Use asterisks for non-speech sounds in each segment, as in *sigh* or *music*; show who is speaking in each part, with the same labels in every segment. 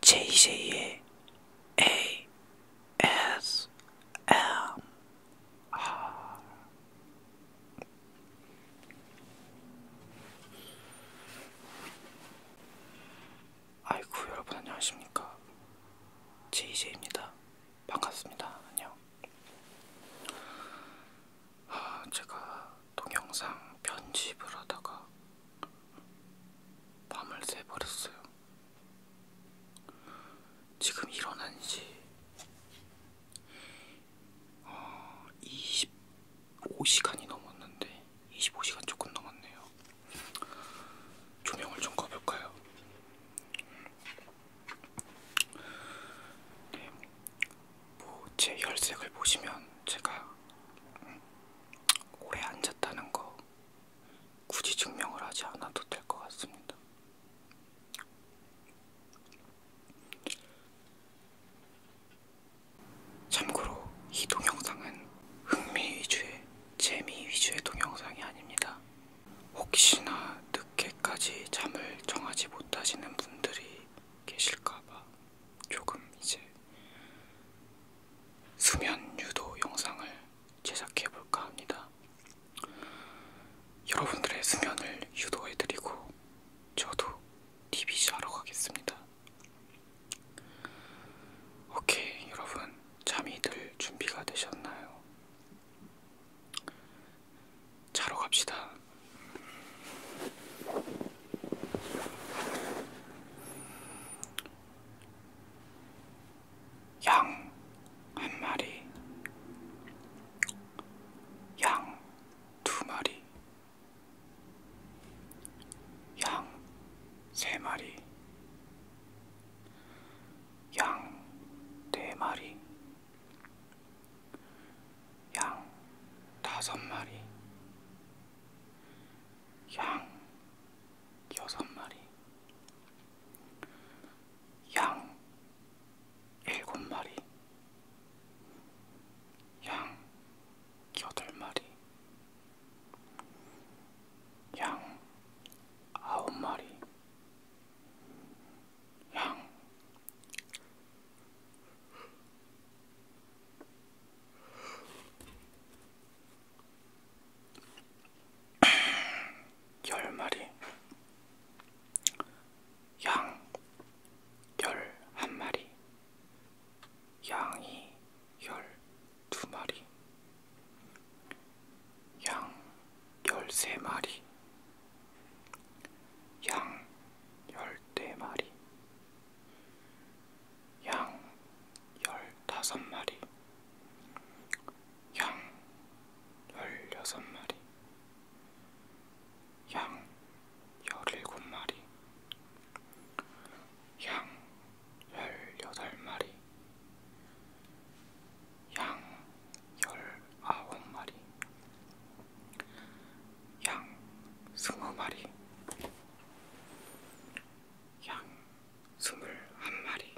Speaker 1: JJ의 ASMR 아이고 여러분 안녕하십니까 JJ입니다 반갑습니다 안녕 아, 제가 동영상 편집을 하다가 밤을 새버렸어요. 지금 일어난 지 어, 25시간이 넘었는데 25시간 조금 넘었네요. 조명을 좀 꺼볼까요? 네, 뭐제 혈색을 보시면 제가 음, 오래 앉았다는 거 굳이 증명을 하지 않아도 될 것 같습니다. 참고로 이 동영상은 흥미 위주의 재미 위주의 동영상이 아닙니다. 혹시나 늦게까지 잠을 정하지 못하시는 분들이 계실까봐 조금 이제 수면 유도 영상을 제작해 볼까 합니다. 여러분들의 수면을 유도해 드리고 저도 TV 자러 가겠습니다. 오케이, 여러분. 잠이 들 준비가 되셨나요? 자러 갑시다. 양한 마리, 양 두 마리, 양 세 마리, 양 네 마리, 양 다섯 마리, 양 여섯 마리, 양 일곱 마리, 양 여덟 마리, 양 아홉 마리, 양 *clears throat* 열 마리, 양, 열 한 마리, 양이 열 두 마리, 양 열 세 마리, 양 열 네 마리, 양 열다섯 마리, 양 열여섯 마리, 양 열일곱 마리, 양 열여덟 마리, 양 열아홉 마리, 양 스무 마리, 양 스물 한 마리,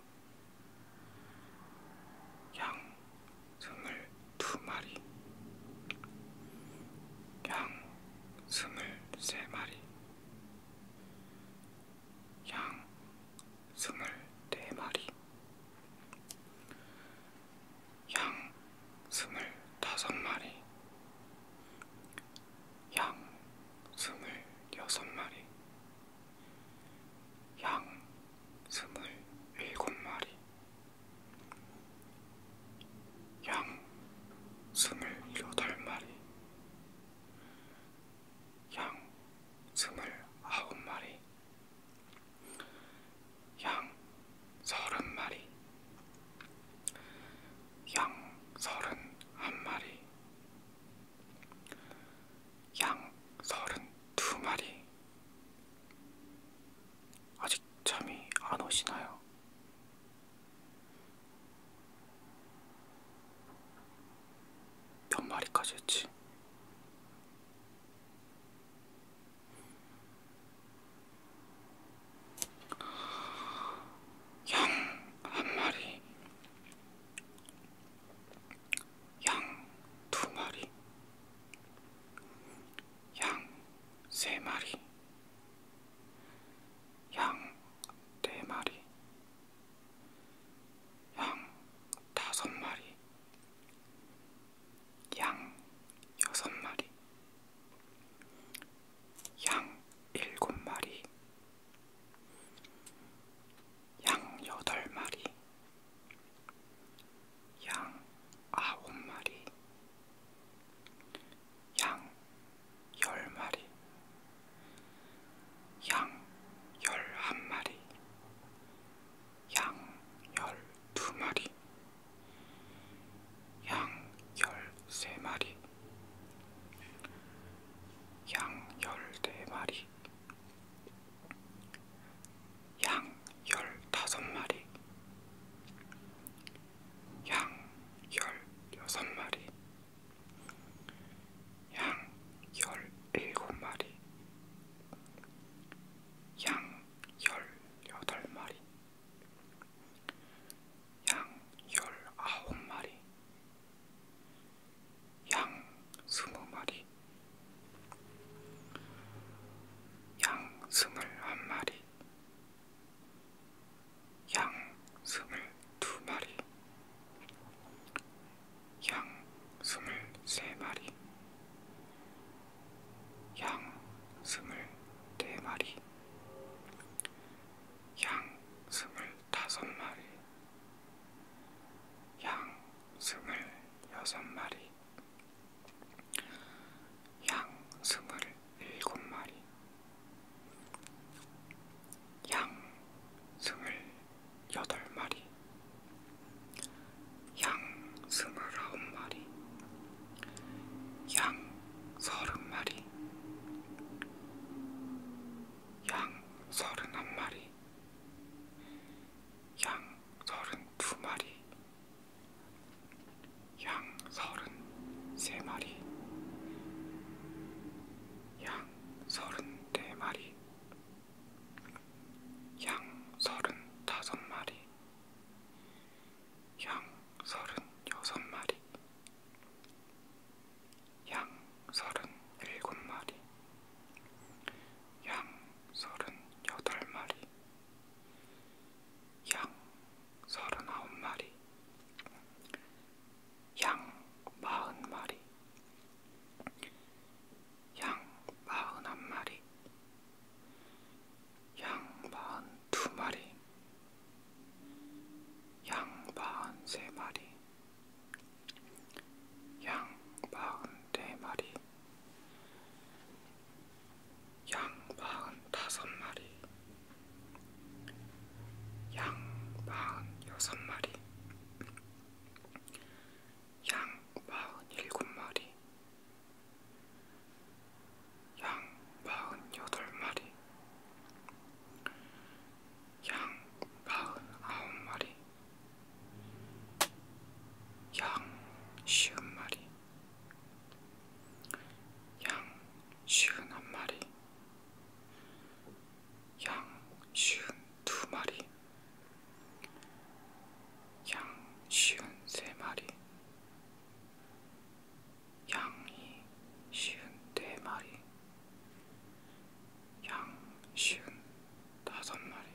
Speaker 1: 양 스물 두 마리, 양 스물 세 마리, 양 스물 네 마리, 양 스물다섯 마리, 양 스물여섯 마리, 양 스물일곱 마리, 양 스물여덟 마리, 양 스물아홉 마리, 양 서른 마리, 양 서른 한 마리, 양 서른 두 마리. 아직 잠이 안 오시나요? 몇 마리까지 했지? 양한 마리, 양 두 마리, 양 세 마리, 양 네 마리, 양 다섯 마리, 양 여섯 마리, 양 일곱 마리, 양 여덟 마리, 양 아홉 마리, 양 열 마리, 양 열 한 마리, 양 12마리, 양 13마리, 양 14마리, 양 15마리, 양 16마리, 양 17마리, 양 18마리, 양 19마리, 양 20마리, 양 21마리, 양 22마리, 양 23마리, 양 스물 네 마리, 양 스물 다섯 마리, 양 스물 여섯 마리, 양 스물 일곱 마리, 양 스물 여덟 마리, 양 스물아홉 마리, 양 서른 마리, 양 서른한 마리, 양 서른두 마리, 양 서른세 마리, 양 서른네 마리, 양 서른다섯 마리. 양 서른 여섯 마리, 양 서른 일곱 마리, 양 서른 여덟 마리, 양 서른 아홉 마리, 양 마흔 마리, 양 마흔 한 마리, 양반 두 마리, 양반 세 마리, 양반 네 마리, 양반 다섯 마리, 양반 여섯 마리, 양반 일곱 마리. 양 마흔 여덟 마리, 양 마흔 아홉 마리, 양 쉬운 마리, 양 쉬운 한 마리, 양 쉬운 두 마리. 양 쉬운 세 마리 양이 쉬운 네 마리 양 쉬운 다섯 마리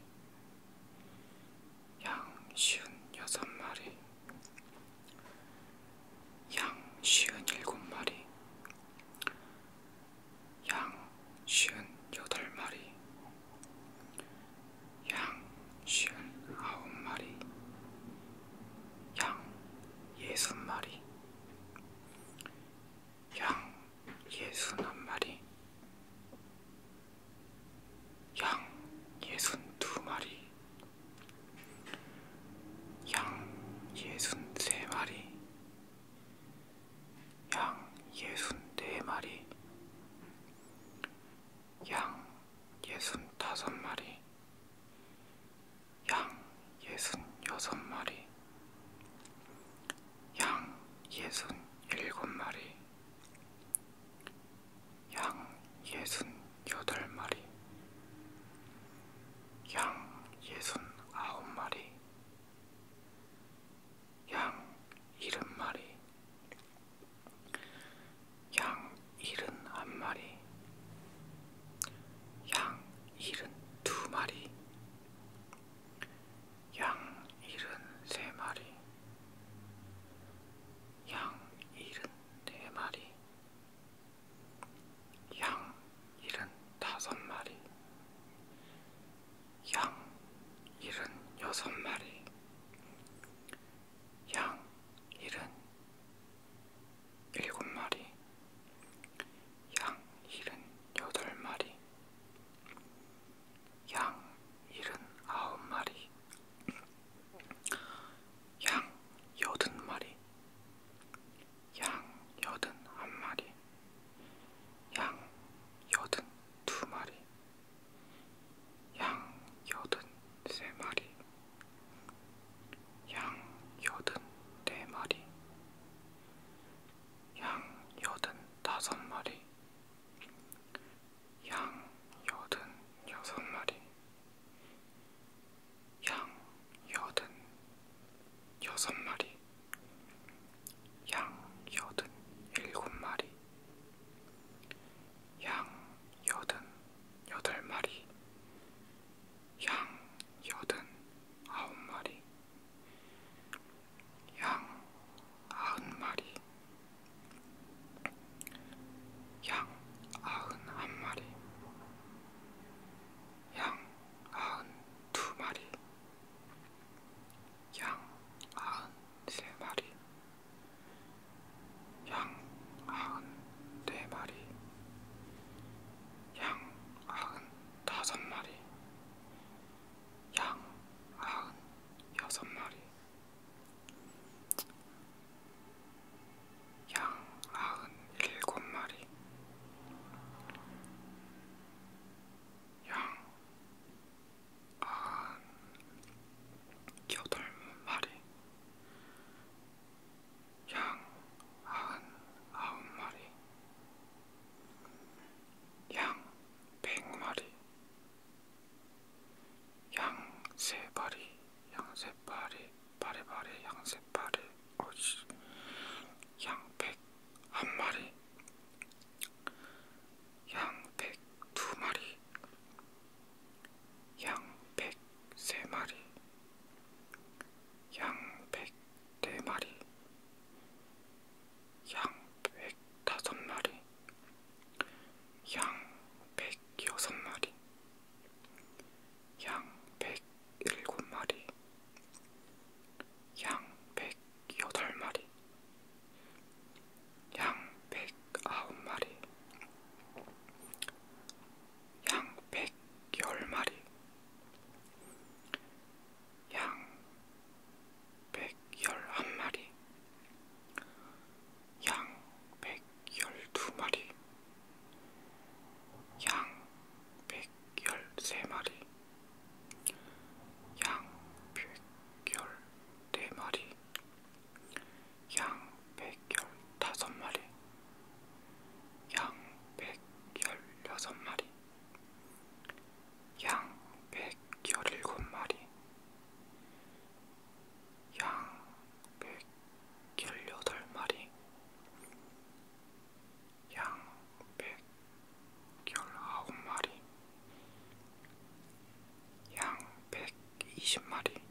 Speaker 1: 양 쉬운 여섯 마리 양 쉬운 일곱 마리 양 쉬운 여덟 마리 양쉰 아홉 마리, 양 예순 마리, 양 예순 한 마리, 양 예순 두 마리, 양 예순 세 마리, 양 예순 네 마리, 양 예순 다섯 마리, 양 예순 여섯 마리, 양 예순 일곱 마리, 양 예순 여덟 마리, 양 예순 아홉 마리, 양 일흔 마리, 양 일흔 한 마리, 양 일흔 두 마리, 양 일흔 세 마리, 양 일흔 네 마리, 양 일흔 다섯 마리, 양 일흔 여섯 마리, 양 일흔 일곱 마리, 양 일흔 여덟 마리, 양 일흔 아홉 마리, 양 여든 마리, 양 여든 한 마리, 양 여든 두 마리, 양 여든 세 마리, 양 여든 네 마리, 양 여든 다섯 마리, 양 여든 여섯 마리, 양 여든 여섯 마리. 양 여든 일곱 마리, 양 여든 여덟 마리, 양 여든 아홉 마리, 양 아흔 마리, 양 아흔 한 마리, 양 아흔 두 마리, 양 아흔 세 네 마리, 양 아흔 네 마리, 양 아흔 다섯 마리, 양 아흔 여섯 마리, 양 아흔 일곱 마리, 양한 여덟 마리, 양한 아홉 마리, 양백 마리, 양세 마리, 양세 마리, 바리바리 양세 마리, 어지 양백 한 마리. 양 102마리, 양 103마리, 양 104마리, 양 105마리, 양 106마리, 양 107마리, 양 108마리, 여덟 마리, 양 백아홉 마리, 양 백열 마리, 양 백열한 마리, 양 백열두 마리, 양 백열세 마리. 양백열 4마리 양백열 5마리 양백열 6마리 양백열 7마리 양백열 8마리 양 119마리, 양 120마리,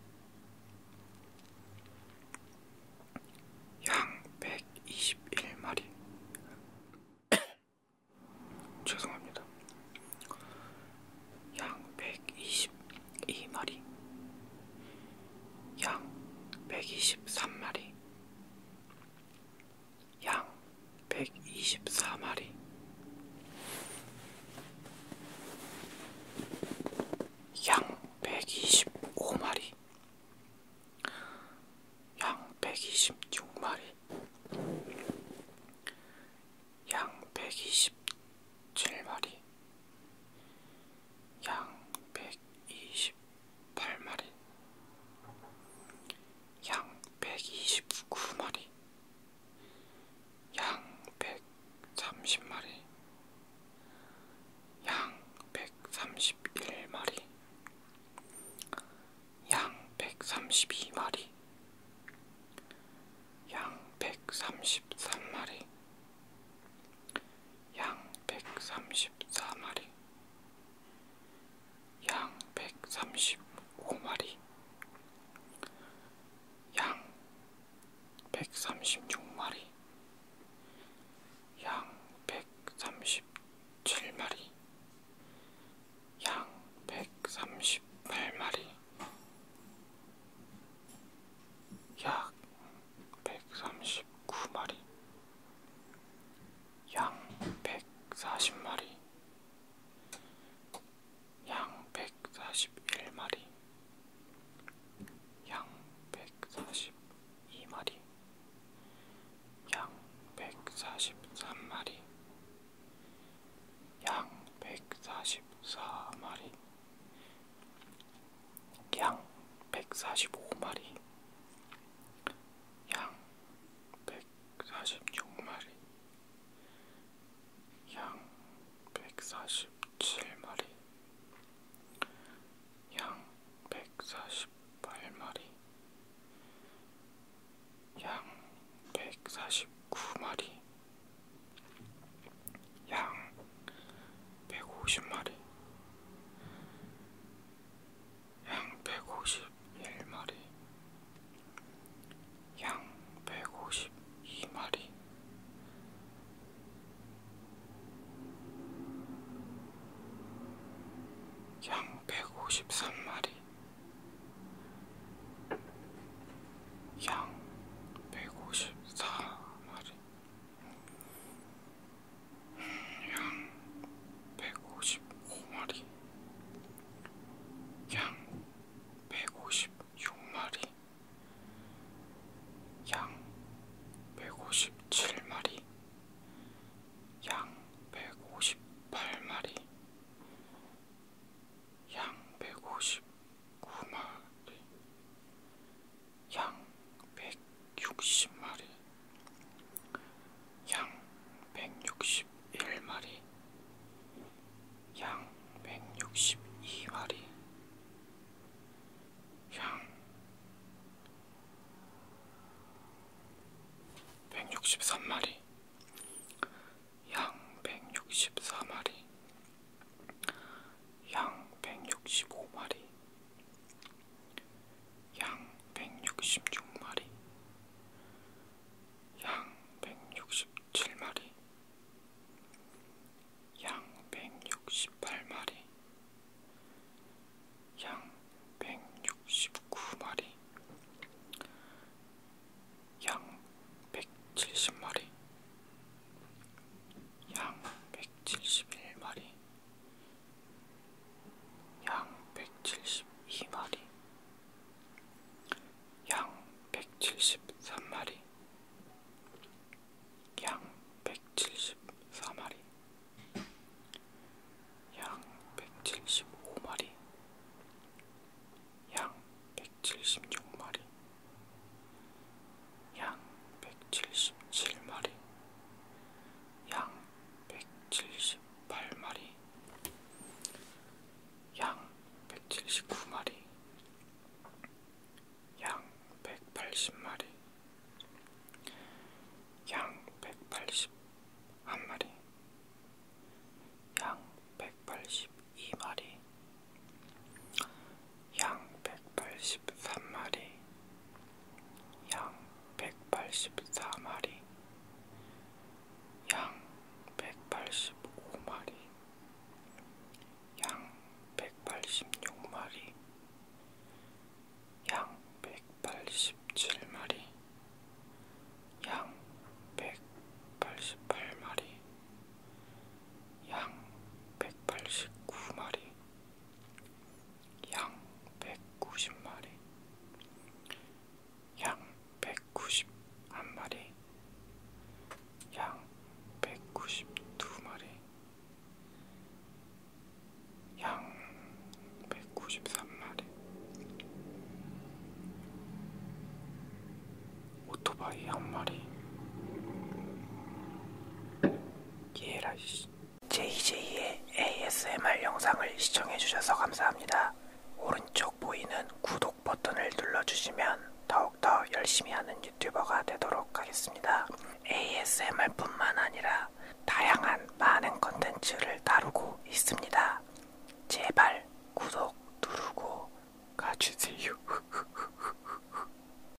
Speaker 1: 양 121마리. *coughs* 죄송합니다. 양 122마리, 양 123마리, 양 124마리 양 125마리 양 126마리 양 127마리 양 128마리 168마리, 양 129마리, 양 130마리, 양 131마리, 양 132마리, 양 133마리, 양 134마리, 양 135마리, 양 136마리, 양 137마리, 양 138마리, 약 139마리, 양 140마리, 양 141마리, 양 142마리, 양 143마리, 양 144마리, 양 145마리, 양 146마리, 양 147마리, 양 148마리, 양 149마리, 양 150마리, 양 151마리, 양 152마리, 양 153마리, 양 154마리. 양 155마리 양 156마리 양 157마리 양 158마리 양 159마리 양 160마리, 양 161마리, 양 162마리, 양 163마리, 양 164마리, 양 165마리, 양 166마리, 양 167마리, 양 168마리, 양 169마리, 양 170마리, 양 171마리, 양 172마리, 양 173마리, 양 174마리, 양 175마리, 양 176마리, 양 177마리, 양 178마리, 양 179마리, 양 180마리, 양 181마리, 양 182마리, 양 183마리, 양 184마리, 양 185마리, 양 186마리, 양 187마리, 양 188마리, 양 189마리, 양 190마리, 양 191마리, 양 192마리, 양 193마리. 오토바이 한 마리, 예라이씨 JJ의 ASMR 영상을 시청해주셔서 감사합니다. 오른쪽 보이는 구독 버튼을 눌러주시면 더욱더 열심히 하는 유튜버가 되도록 하겠습니다. ASMR 뿐만 아니라 다양한 많은 컨텐츠를 다루고 있습니다. 제발 구독 누르고 가주세요. *laughs*